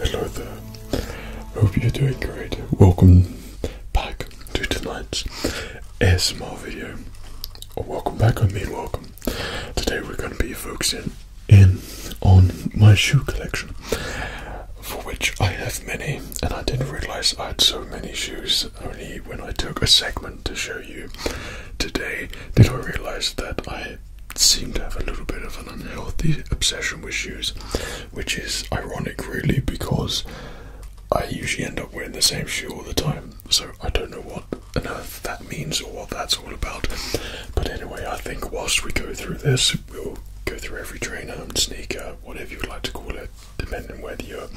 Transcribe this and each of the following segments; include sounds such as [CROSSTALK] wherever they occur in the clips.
Hello Hope you're doing great. Welcome back back to tonight's ASMR video. welcome back, I mean welcome. Today we're going to be focusing in on my shoe collection, for which I have many, and I didn't realise I had so many shoes only when I took a segment to show you today did I realise that I seem to have a little bit of an unhealthy obsession with shoes, which is ironic really because I usually end up wearing the same shoe all the time, so I don't know what on earth that means or what that's all about. But anyway, I think whilst we go through this, we'll go through every trainer and sneaker, whatever you would like to call it, depending whether you're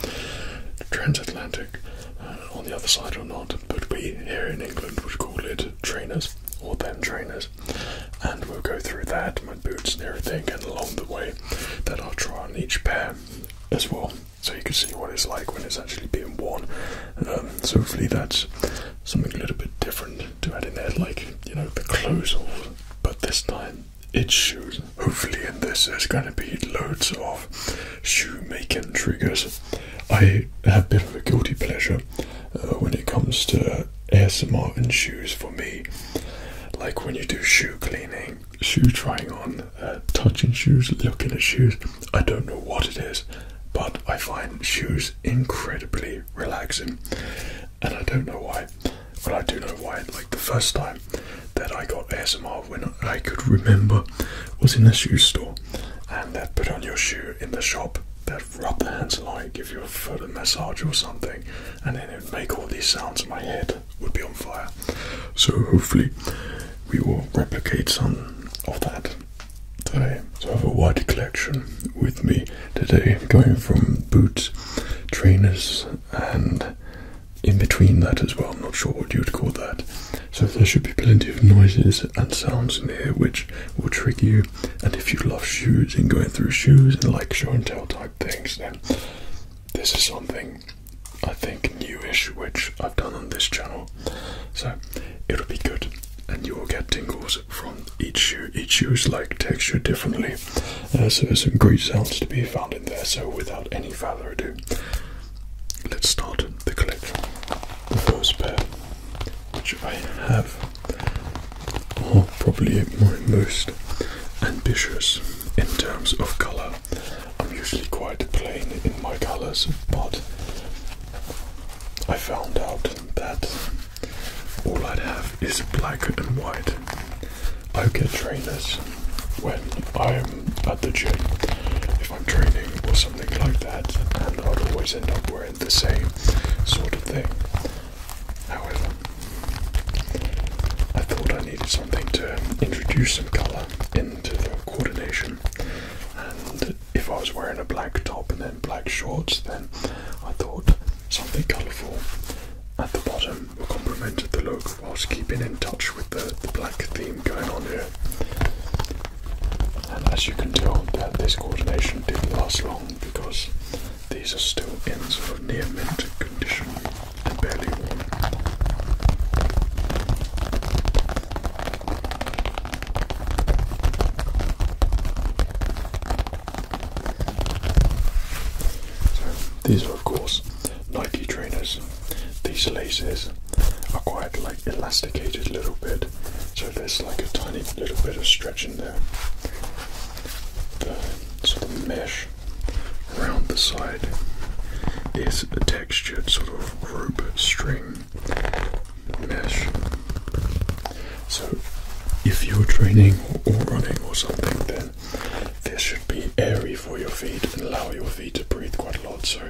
transatlantic uh, on the other side or not. But we here in England would call it trainers or them trainers, and we'll go through that, my boots and everything, and along the way then I'll try on each pair as well, so you can see what it's like when it's actually being worn. Um, so hopefully that's something a little bit different to add in there, like you know the clothes off, but this time it's shoes. Hopefully in this there's going to be loads of shoe making triggers. I have a bit of a guilty pleasure uh, when it comes to ASMR and shoes for me. Like when you do shoe cleaning um, shoe trying on, uh, touching shoes, looking at shoes. I don't know what it is, but I find shoes incredibly relaxing, and I don't know why. But I do know why. Like the first time that I got ASMR, when I could remember, was in a shoe store, and they would put on your shoe in the shop. They'd rub the hands like, give you a foot massage or something, and then it'd make all these sounds in my head would be on fire. So hopefully we will replicate some of that today. So I have a wide collection with me today, going from boots, trainers, and in between that as well. I'm not sure what you'd call that. So there should be plenty of noises and sounds in here which will trigger you. And if you love shoes and going through shoes and like show and tell type things, then this is something I think newish, which I've done on this channel. So it'll be good, and you will get tingles from each shoe. Each shoe's like texture differently. Uh, so there's some great sounds to be found in there. So without any further ado, let's start the collection. The first pair, which I have, are probably my most ambitious in terms of color. Um, I'm usually quite plain in my colors, but I found out that all I'd have is black and white. I get trainers when I'm at the gym, if I'm training or something like that, and I'd always end up wearing the same sort of thing. However, I thought I needed something to introduce some colour into the coordination, and if I was wearing a black top and then black shorts, then I thought something colourful at the bottom would complement the look whilst keeping in touch with the, the black theme going on here. And as you can tell, that this coordination didn't last long because these are still in sort of near mint condition and barely warm. So these are of course Nike trainers. These laces are quite like elasticated a little bit, so there's like a tiny little bit of stretch in there. The sort of mesh Around the side there's a textured sort of rope string mesh. So, if you're training or running or something, then this should be airy for your feet and allow your feet to breathe quite a lot. So,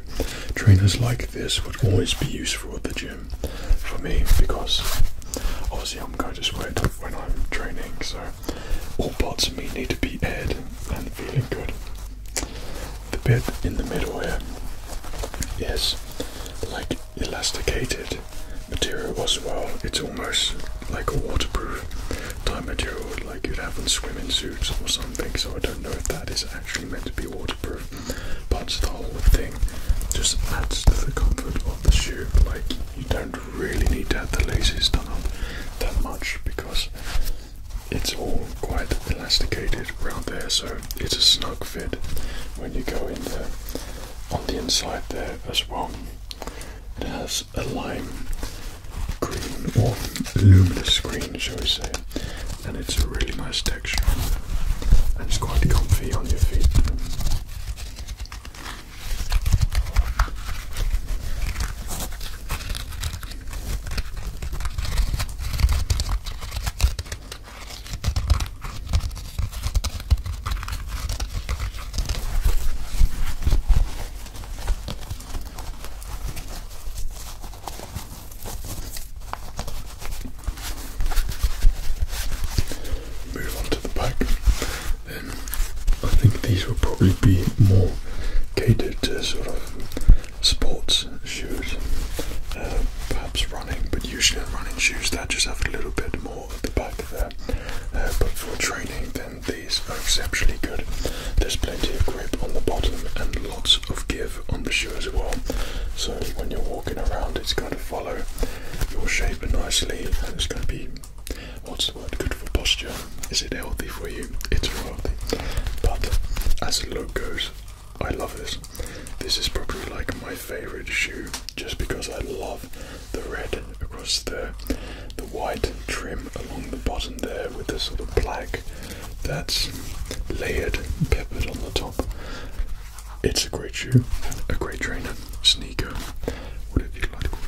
trainers like this would always be useful at the gym for me because obviously I'm going to sweat when I'm training. So, all parts of me need to be aired and feeling good. The bit in the middle here is like elasticated material as well. It's almost like a waterproof type material like you'd have in swimming suits or something, so I don't know if that is actually meant to be waterproof. But the whole thing just adds to the comfort of the shoe, like you don't really need to have the laces done up that much because it's all quite elasticated around there, so it's a snug fit when you go in there. On the inside there as well, it has a lime green or luminous green, shall we say, and it's a really nice texture and it's quite comfy on your feet. Move on to the back. I think these will probably be more catered to sort of sports shoes, uh, perhaps running, but usually running shoes that just have a little bit more at the back there. Uh, but for training, then these are exceptionally good. There's plenty of grip on the bottom and lots of give on the shoe as well. So when you're walking around, it's going to follow your shape nicely and it's going to be what's the word good for posture? Is it healthy for you? It's healthy. But as the look goes, I love this. This is probably like my favourite shoe just because I love the red across the the white trim along the bottom there with the sort of black that's layered, peppered on the top. It's a great shoe, a great trainer, sneaker, whatever you like to call it.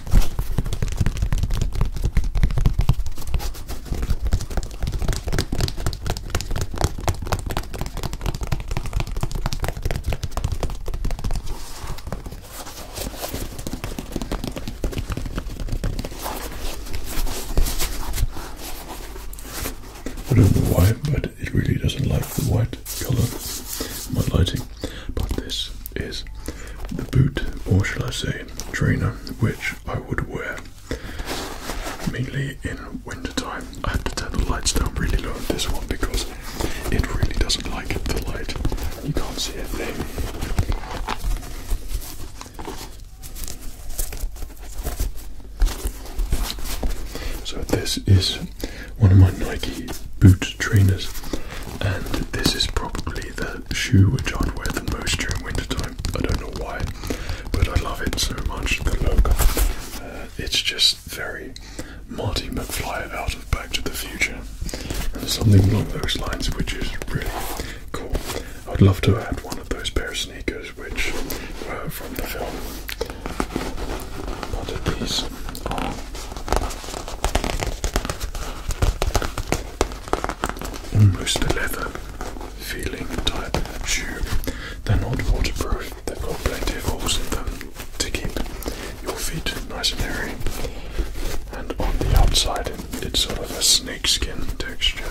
I don't know why, but it really doesn't like the white colour my lighting. But this is the boot, or shall I say, trainer, which I would wear mainly in winter time. I have to turn the lights down really low on this one because it really doesn't like the light. You can't see a thing. So this is one of my Nike boot trainers, and this is probably the shoe which I'd wear the most during winter time. I don't know why, but I love it so much. The look uh, it's just very Marty McFly out of Back to the Future, and something along those lines, which is really cool. I'd love to have one of those pair of sneakers which were uh, from the film. But these oh almost a leather feeling type shoe. They're not waterproof, they've got plenty of holes in them to keep your feet nice and airy. And on the outside, it's sort of a snakeskin texture.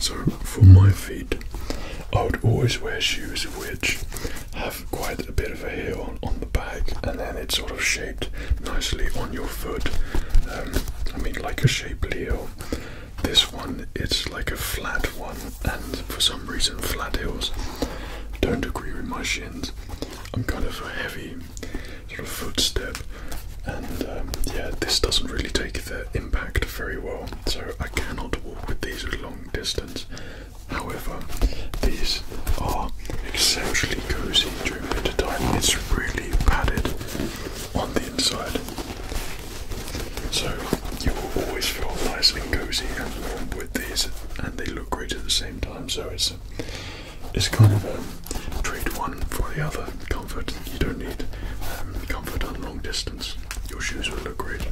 So for my feet, I would always wear shoes which have quite a bit of a heel on the back, and then it's sort of shaped nicely on your foot. Um, I mean, like a shapely heel. This one, it's like a flat one, and for some reason, flat heels don't agree with my shins. I'm kind of a heavy sort of footstep, and um, yeah, this doesn't really take the impact very well, so I cannot walk with these at long distance. However, these are exceptionally cozy during winter time. It's really padded on the inside. So you will always feel nice and cozy and warm with these and they look great at the same time. So it's it's kind of a trade one for the other comfort. You don't need um, comfort on long distance. Your shoes would look great.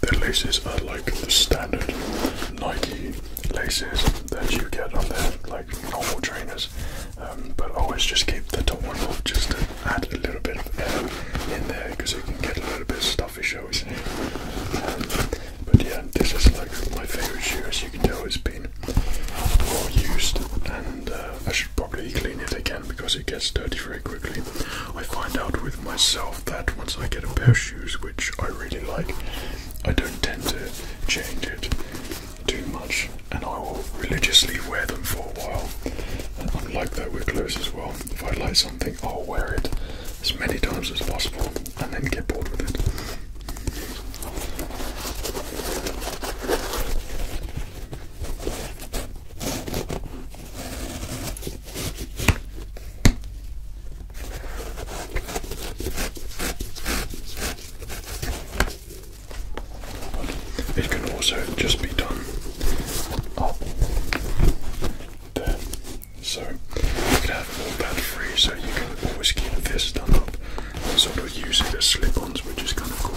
The laces are like the standard Nike laces that you get on their like normal trainers, um, but always just keep the top one off just to add a little bit of air in there because it can get a little bit stuffy, shall we say. Um, but yeah, this is like my favorite shoe, as you can tell, it's been been used, and uh, I should probably clean it again because it gets dirty very quickly. I find out with myself that once I get a pair of shoes which I really like, I don't tend to change it too much, and I will religiously wear them for a while. And i like that with clothes as well. If I like something, I'll wear it as many times as possible and then get bored with it. It can also just be done up oh. there. So you can have all that free so you can always get this done up sort of use it as slip-ons, which is kind of cool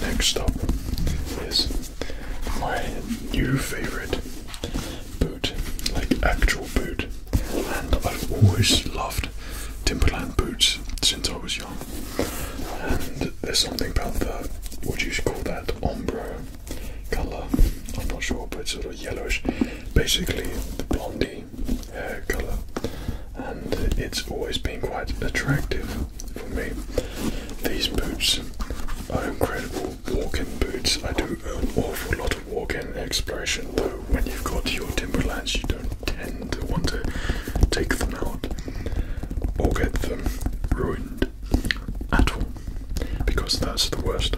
Next up is my new favorite boot, like actual boot, and I've always loved Timberland boots since I was young. And there's something about the what do you call that ombre color? I'm not sure, but it's sort of yellowish. Basically, the blondie hair color and it's always been quite attractive for me. These boots are incredible walking boots. I do an awful lot of walking and exploration though when you've got your Timberlands you don't tend to want to take them out or get them ruined at all because that's the worst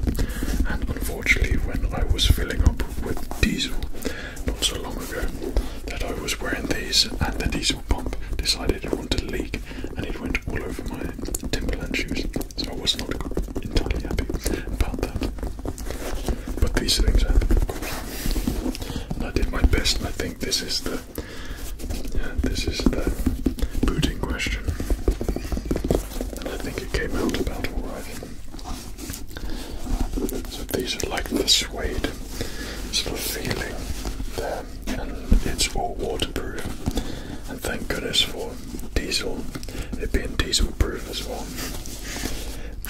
and unfortunately when I was filling up with diesel not so long ago that I was wearing these and the diesel pump decided it wanted to leak and it went all over my Timberland shoes. So I was not entirely happy about that. But these things happen, of course. And I did my best and I think this is the this is the booting question. And I think it came out about alright. So these are like the suede sort feeling there, and it's all waterproof. And thank goodness for diesel, it being diesel proof as well.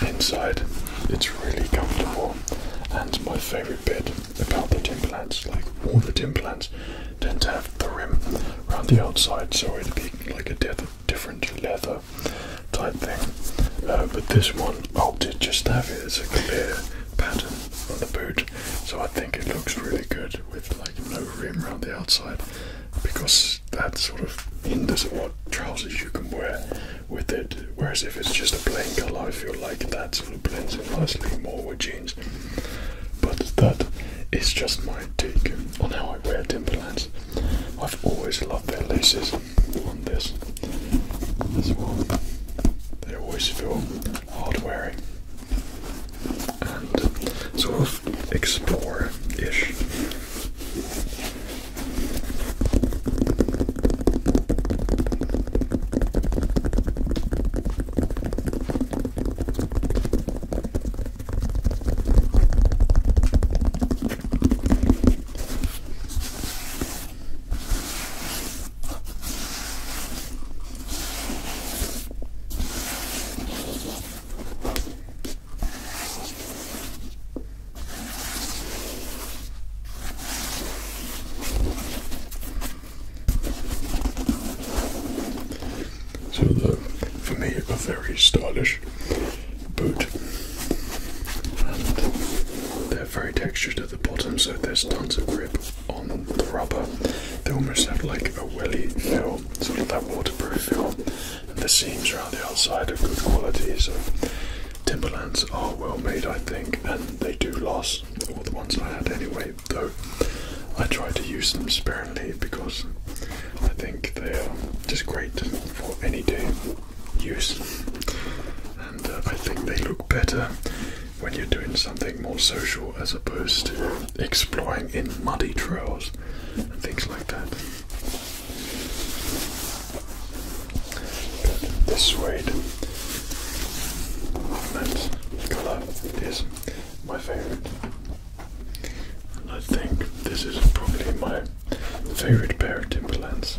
Inside, it's really comfortable, and my favourite bit about the Timberlands, like all the Timberlands, tend to have the rim around the outside, so it'd be like a different leather type thing. Uh, but this one oh did just have it as a clear pattern on the boot so I think it looks really good with like no rim around the outside because that sort of hinders what trousers you can wear with it whereas if it's just a plain colour I feel like that sort of blends in nicely more with jeans but that is just my take on how I wear Timberlands I've always loved their laces on this this well. They always feel hard and sort of explore ish. So the, for me, a very stylish boot, very textured at the bottom, so there's tons of grip on the rubber. They almost have like a welly feel, sort of that waterproof feel. the seams around the outside are good quality, so Timberlands are well made, I think, and they do last. All the ones I had anyway, though I try to use them sparingly because I think they are just great for any day use, and uh, I think they look better when you're doing something more social as opposed to exploring in muddy trails and things like that. this suede this colour is my favourite. And I think this is probably my favourite pair of Timberlands.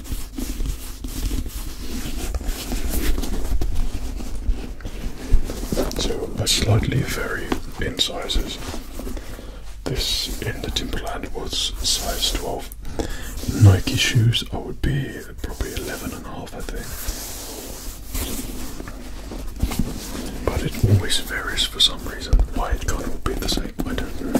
So I slightly vary in sizes. This in the Timberland was size 12. Nike shoes I would be probably 11 and a half I think. But it always varies for some reason. Why it can't all be the same, I don't know.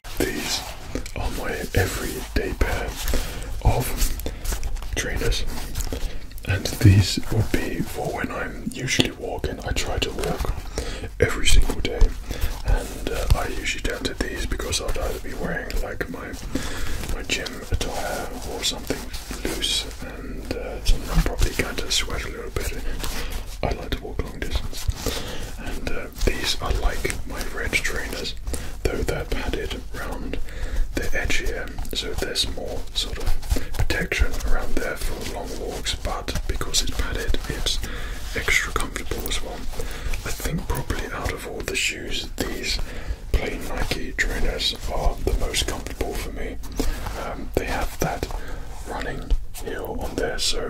These are my everyday pair of trainers, and these will be for when I'm usually walking. I try to walk every single day, and uh, I usually turn to these because i will either be wearing like my my gym attire or something loose, and uh, I'm probably going to sweat a little bit I like to walk long distances, and uh, these are like my red trainers, though they're padded round the edge here, so there's more sort of protection around there for long walks, but because it's padded, it's extra comfortable as well. I think probably out of all the shoes, these plain Nike trainers are the most comfortable for me. Um, they have that running heel on there, so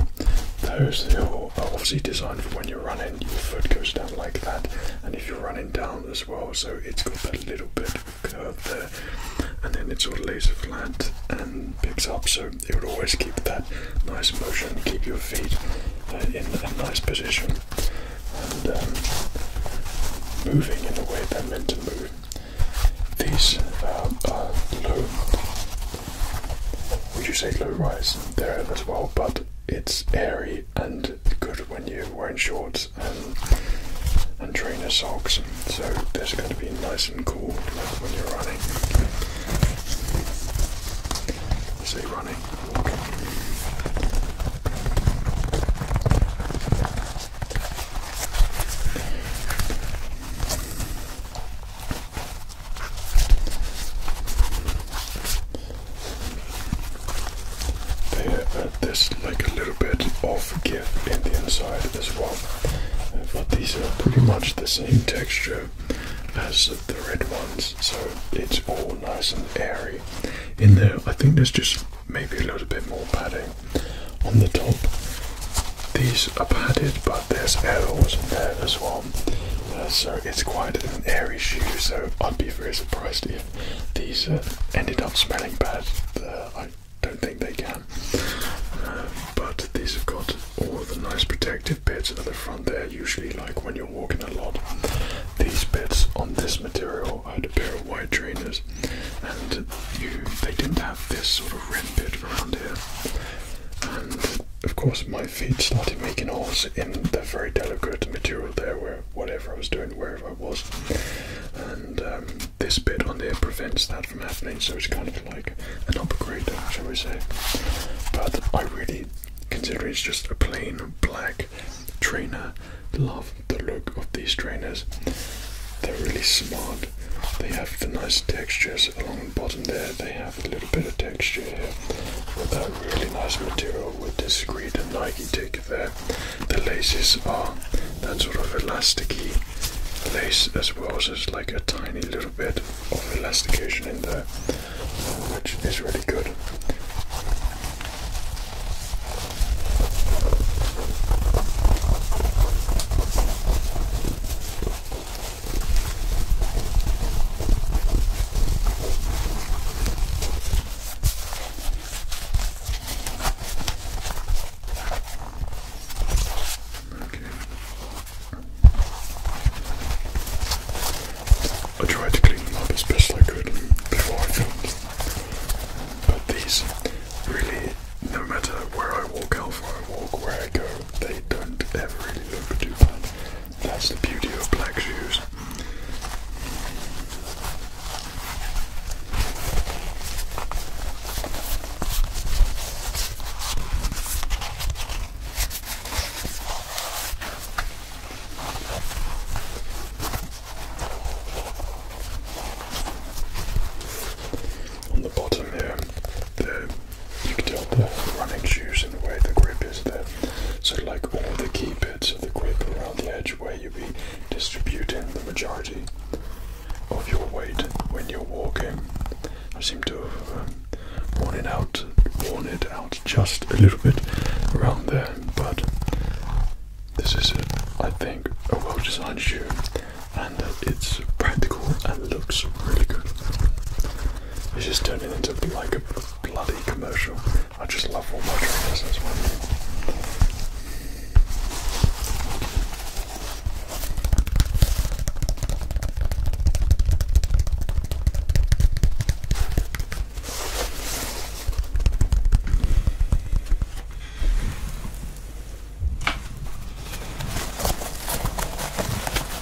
those heel are obviously designed for when you're running, your foot goes down like that, and if you're running down as well, so it's got a little bit of curve there, and then it it's all laser flat and picks up, so it would always keep that nice motion, keep your feet uh, in a nice position and um, moving in the way they're meant to move. These um, are low. Would you say low rise? there as well, but it's airy and good when you're wearing shorts and, and trainer socks. So this is going to be nice and cool when you're running. Say running, they, uh, there's like a little bit of give in the inside as well, but these are pretty much the same texture as the red ones, so it's all nice and airy. In there, I think there's just maybe a little bit more padding on the top. These are padded, but there's arrows in there as well, uh, so it's quite an airy shoe, so I'd be very surprised if these uh, ended up smelling bad. Uh, I don't think they can. but these have got all the nice protective bits at the front They're usually like when you're walking a lot. These bits on this material, I had a pair of white trainers, and they didn't have this sort of rim bit around here. And of course, my feet started making holes in the very delicate material there, where whatever I was doing, wherever I was, and um, this bit on there prevents that from happening. So it's kind of like an upgrade, shall we say? But I really consider it's just a plain black trainer. Love the look of these trainers. They're really smart. They have the nice textures along the bottom there. They have a little bit of texture here with that really nice material with this green and Nike take there. The laces are that sort of elasticy lace as well, so there's like a tiny little bit of elastication in there, which is really good. I tried to clean them up as best I could before I filmed, but these really, no matter where I walk, how far I walk, where I go, they don't ever really look too bad. That's the beauty of black shoes. On the bottom here, the you can tell the running shoes and the way the grip is there. So like all the key bits of the grip around the edge where you'll be distributing the majority of your weight when you're walking. I seem to have um, worn it out, worn it out just a little bit around there, but this is, uh, I think, a well-designed shoe, and it's practical and looks really good. It's just turning into like a bloody commercial. I just love all my trainers, as well.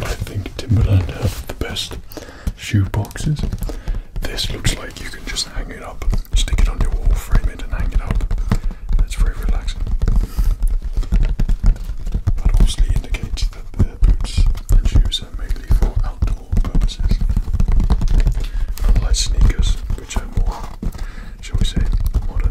I think Timberland have the best shoe boxes. This looks like you can just hang it up, stick it on your wall, frame it, and hang it up. That's very relaxing. That obviously indicates that the boots and shoes are mainly for outdoor purposes, unlike sneakers, which are more, shall we say, modern.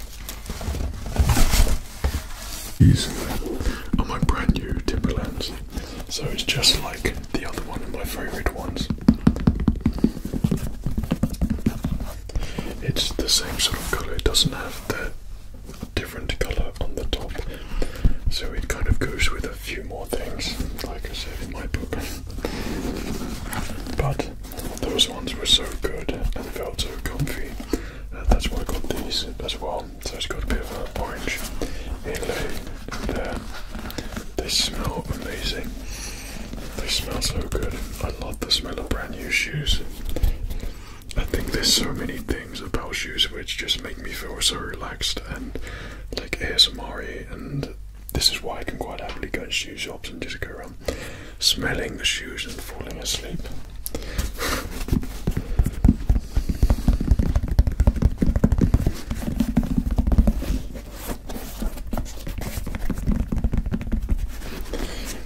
These are oh, my brand new Timberlands. So it's just like the other one of my favourite ones. It's the same sort of colour, it doesn't have the different colour on the top. So it kind of goes with a few more things, like I said in my book. But those ones were so good and felt so comfy. Uh, that's why I got these as well. So it's got a bit of orange inlay there. They smell amazing. They smell so good. I love the smell of brand new shoes. I think there's so many things about shoes which just make me feel so relaxed and like ASMR and this is why I can quite happily go in shoe shops and just go around smelling the shoes and falling asleep.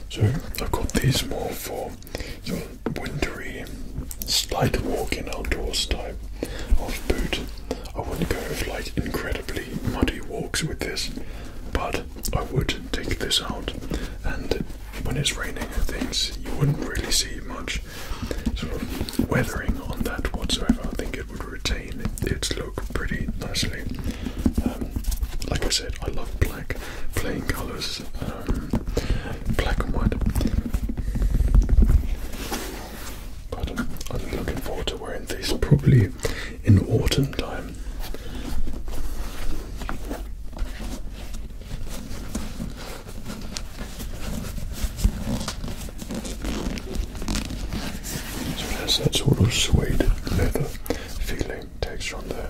So I've got these more for sort of wintry, slight walking outdoors type of boot. I wouldn't go for like incredibly muddy walks with this, but I would take this out, and when it's raining and things, you wouldn't really see much sort of weathering on that whatsoever. I think it would retain its look pretty nicely. Um, like I said, I love black, plain colours, um, black and white. But I'm looking forward to wearing this probably in autumn. Time time. So it has that sort of suede leather feeling texture on there.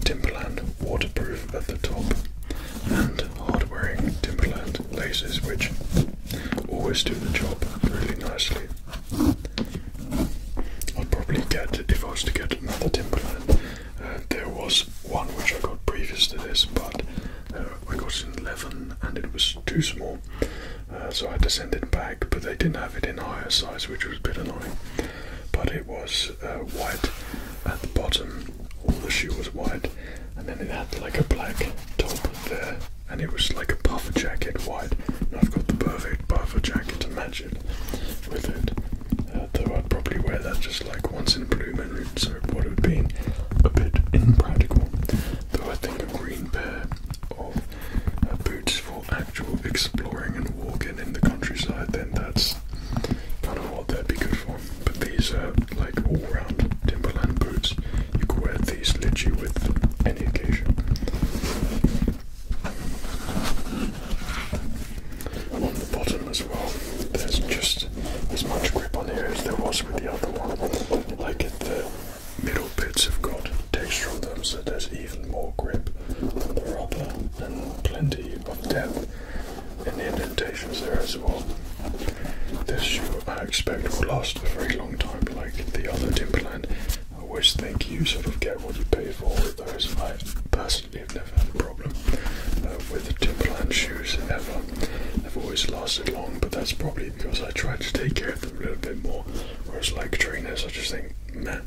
Timberland waterproof at the top and hard wearing Timberland laces which always do the job really nicely. I'd probably get, if I was to get another Timberland, uh, there was one which I got previous to this, but uh, I got an 11 and it was too small, uh, so I had to send it back, but they didn't have it in higher size, which was a bit annoying. But it was white at the bottom, all the shoe was white, and then it had like a black top there and it was like a puffer jacket white. And I've got the perfect puffer jacket to match it with it. Uh, though I'd probably wear that just like once in a blue moon, so it would have been a bit impractical. Though I think a green pair of uh, boots for actual exploring and walking in the countryside, then that's kind of what that would be good for. But these are like all round Timberland boots. You could wear these with any application. On the bottom as well, there's just as much grip on here as there was with the other one. Like it, the middle bits have got texture on them, so there's even more grip the rubber and plenty of depth and indentations there as well. This shoe I expect will last a very long time, like the other Timberland. I always think you sort of get what you pay for with those. I personally have never had a problem uh, with the Timberland shoes ever. They've always lasted long, but that's probably because I try to take care of them a little bit more. Whereas like trainers, I just think, man.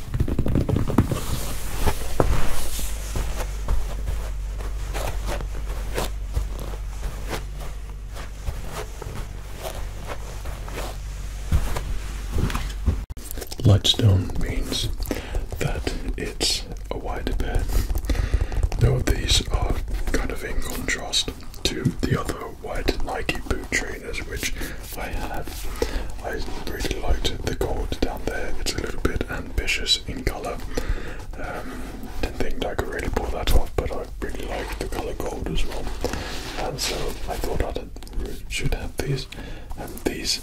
Lightstone means that it's a wider pair. Though these are kind of in contrast to the other white Nike boot tree which I have. I really liked the gold down there. It's a little bit ambitious in colour. Um, didn't think I could really pull that off, but I really like the colour gold as well. And so I thought I should have these and these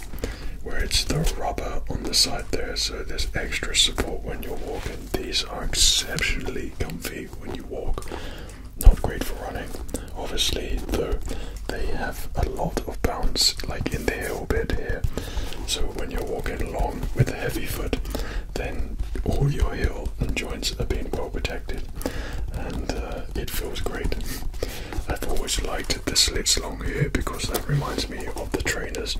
where it's the rubber on the side there so there's extra support when you're walking. These are exceptionally comfy when you walk not great for running. Obviously, though, they have a lot of bounce, like in the hill bit here. So when you're walking along with a heavy foot, then all your heel and joints are being well protected, and uh, it feels great. I've always liked the slits along here because that reminds me of the trainers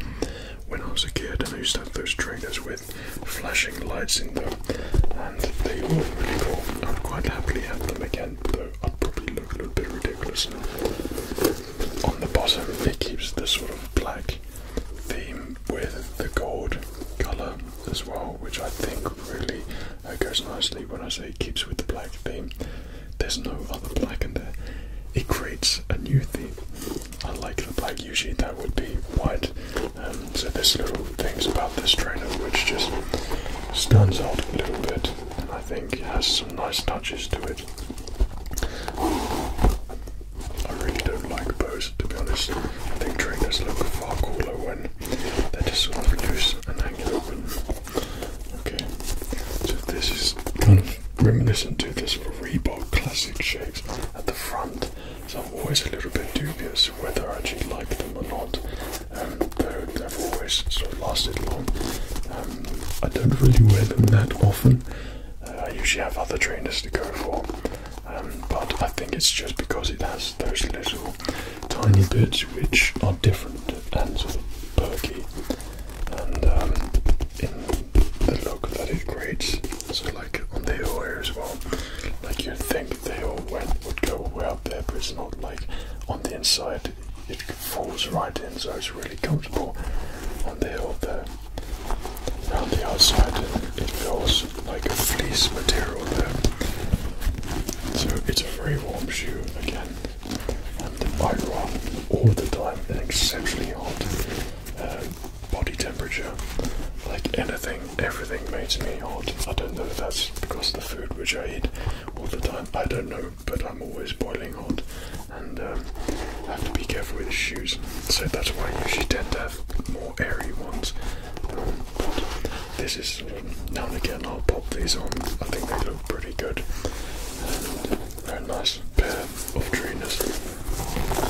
when I was a kid, and I used to have those trainers with flashing lights in them, and they were really cool. I'd quite happily have them again, though. I'd probably look a little bit ridiculous. On the bottom, it keeps the sort of black theme with the gold color as well, which I think really goes nicely when I say it keeps with the black theme. There's no other black in there. It creates a new theme. Unlike the black, usually that would be white. Um, so there's little things about this trainer which just stands out a little bit and I think has some nice touches to it. I really don't like bows to be honest. I think trainers look far cooler when they're just sort of loose and hanging open. Okay, so this is kind of reminiscent to this Reebok classic shapes at the front. So I'm always a little bit dubious whether I actually like them or not. Um, they've sort of lasted long. Um, I don't really wear them that often. Uh, I usually have other trainers to go for, um, but I think it's just because it has those little tiny bits which are different and sort of perky, and um, in the look that it creates. So like on the heel here as well, like you'd think they all went would go all out there, but it's not like on the inside, it falls right in, so it's really comfortable on the heel there. And the outside, it feels like a fleece material there. So it's a very warm shoe again. And I run all the time and exceptionally hot um, body temperature. Like anything, everything makes me hot. I don't know if that's because the food which I eat, all the time. I don't know, but I'm always boiling hot and um, I have to be careful with the shoes. So that's why I usually tend to have more airy ones. Um, but this is um, now and again I'll pop these on. I think they look pretty good. And they're a nice pair of trainers.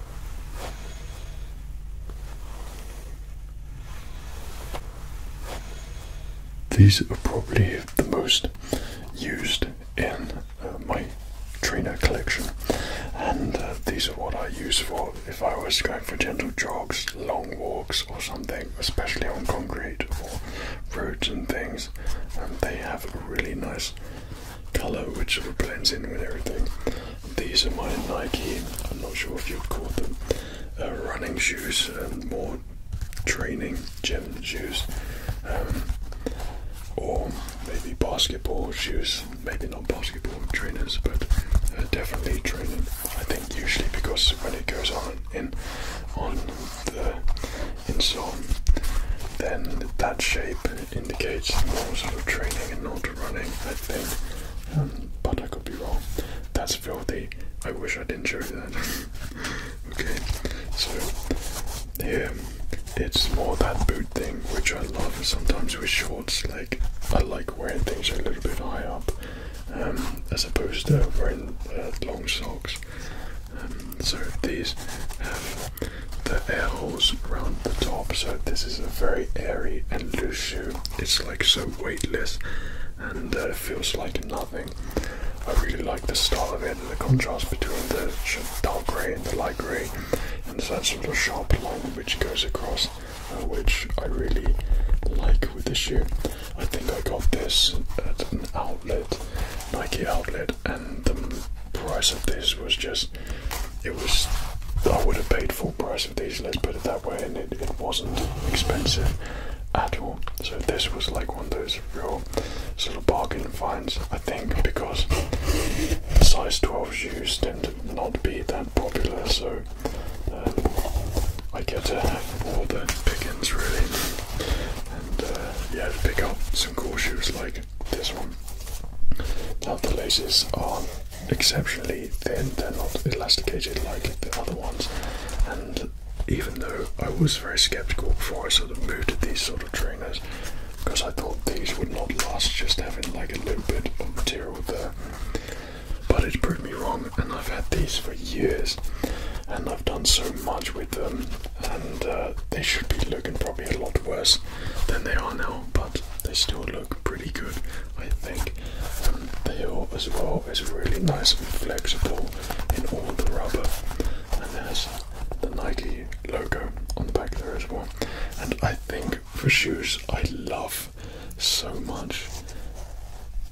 These are probably the most used in uh, my trainer collection, and uh, these are what I use for if I was going for gentle jogs, long walks, or something, especially on concrete or roads and things. And they have a really nice colour which sort blends in with everything. These are my Nike, I'm not sure if you have caught them uh, running shoes, um, more training gym shoes, um, or maybe basketball shoes, maybe not basketball trainers, but uh, definitely training. I think usually because when it goes on in on the insole, then that shape indicates more sort of training and not running, I think. Um, but I could be wrong. That's filthy. I wish I didn't show that. [LAUGHS] okay, so here it's more that boot thing, which I love. Sometimes with shorts, like I like wearing things a little bit high up, um, as opposed to wearing uh, long socks. Um, so these the air holes around the top. So this is a very airy and loose shoe. It's like so weightless and uh, feels like nothing. I really like the style of it and the contrast between the dark grey and the light grey. And there's that sort of sharp line which goes across, uh, which I really like with the shoe. I think I got this at an outlet, Nike outlet and the price of this was just it was I would have paid full price of these, let's put it that way, and it, it wasn't expensive at all. So this was like one of those real sort of bargain finds, I think, because size 12 shoes tend to not be that popular, so um, I get to have all the pickings really, and uh, yeah, pick up some cool shoes like this one. Now the laces are exceptionally thin, they're not elasticated like the other ones, and even though I was very skeptical before I sort of moved to these sort of trainers, because I thought these would not last just having like a little bit of material there. But it proved me wrong, and I've had these for years, and I've done so much with them, and uh, they should be looking probably a lot worse than they are now, but they still look pretty good, I think. Um, the heel as well is really nice and flexible in all the rubber, and there's the Nike logo on the back there as well. And I think for shoes, I love so much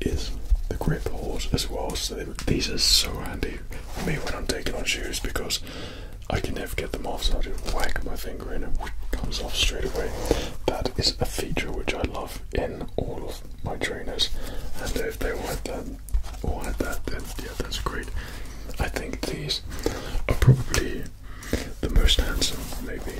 is the grip holes as well. So these are so handy for me when I'm taking on shoes because I can never get them off, so I just wag my finger and it comes off straight away. That is a feature which I love in all of my trainers, and if they all had that, all had that, then yeah, that's great. I think these are probably the most handsome, maybe.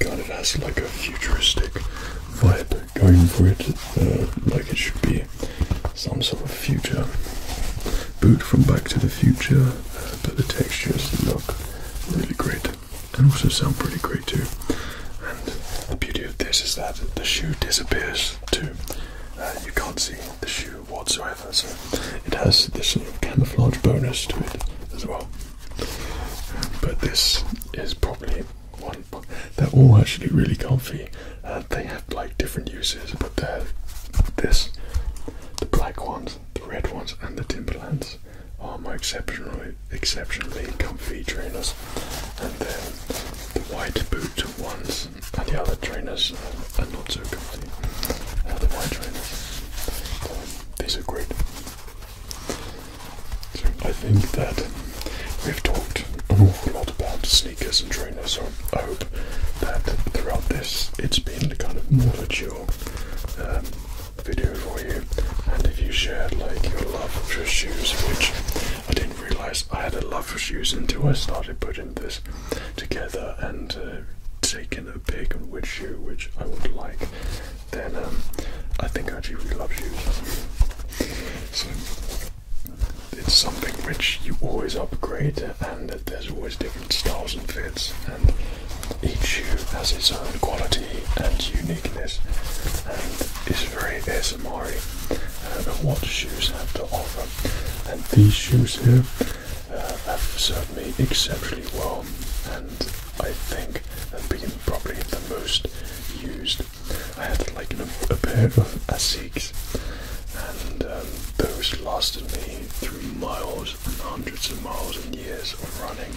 kind of has like a futuristic vibe going for it, uh, like it should be some sort of future boot from Back to the Future, uh, but the textures look really great and also sound pretty great too. And the beauty of this is that the shoe disappears too. Uh, you can't see the shoe whatsoever, so it has this sort of camouflage bonus to it as well. But this is probably one. They're all actually really comfy. Uh, they have like different uses, but this, the black ones, the red ones, and the Timberlands are my exceptionally exceptionally comfy trainers. And then the white boot ones and the other trainers are not so comfy. Uh, the white trainers. Um, these are great. So I think that we've talked an awful lot about sneakers and trainers, so I hope that throughout this it's been a kind of more mature um, video for you. And if you shared like your love for shoes, which I didn't realise I had a love for shoes until I started putting this together and uh, taking a pick on which shoe which I would like then um, I think I really love shoes. so it's something which you always upgrade, and there's always different styles and fits, and each shoe has its own quality and uniqueness, and is very ASMR uh, what shoes have to offer. And these shoes here uh, have served me exceptionally well, and I think have been probably the most used. I had like a pair of ASICs, and um, those lasted me through miles and hundreds of miles and years of running.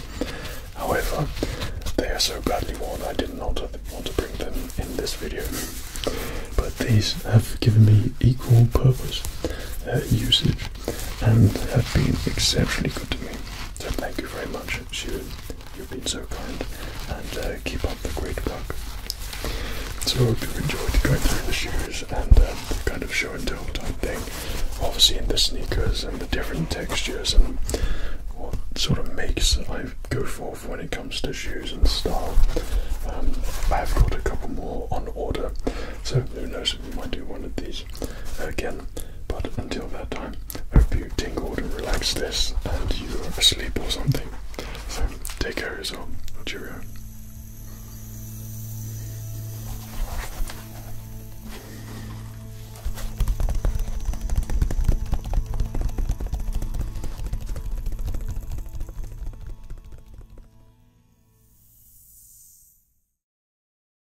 However, they are so badly worn I did not want to bring them in this video. But these have given me equal purpose uh, usage and have been exceptionally good to me. So thank you very much, Shu. You've been so kind, and uh, keep up the great work. So I hope you enjoyed going through the shoes and um, kind of show and tell type thing. Obviously, in the sneakers and the different textures and what sort of makes I go for when it comes to shoes and style. Um, I have got a couple more on order, so who knows if we might do one of these again. But until that time, hope you tingled and relaxed this and you are asleep or something. So take care of yourself. Cheerio.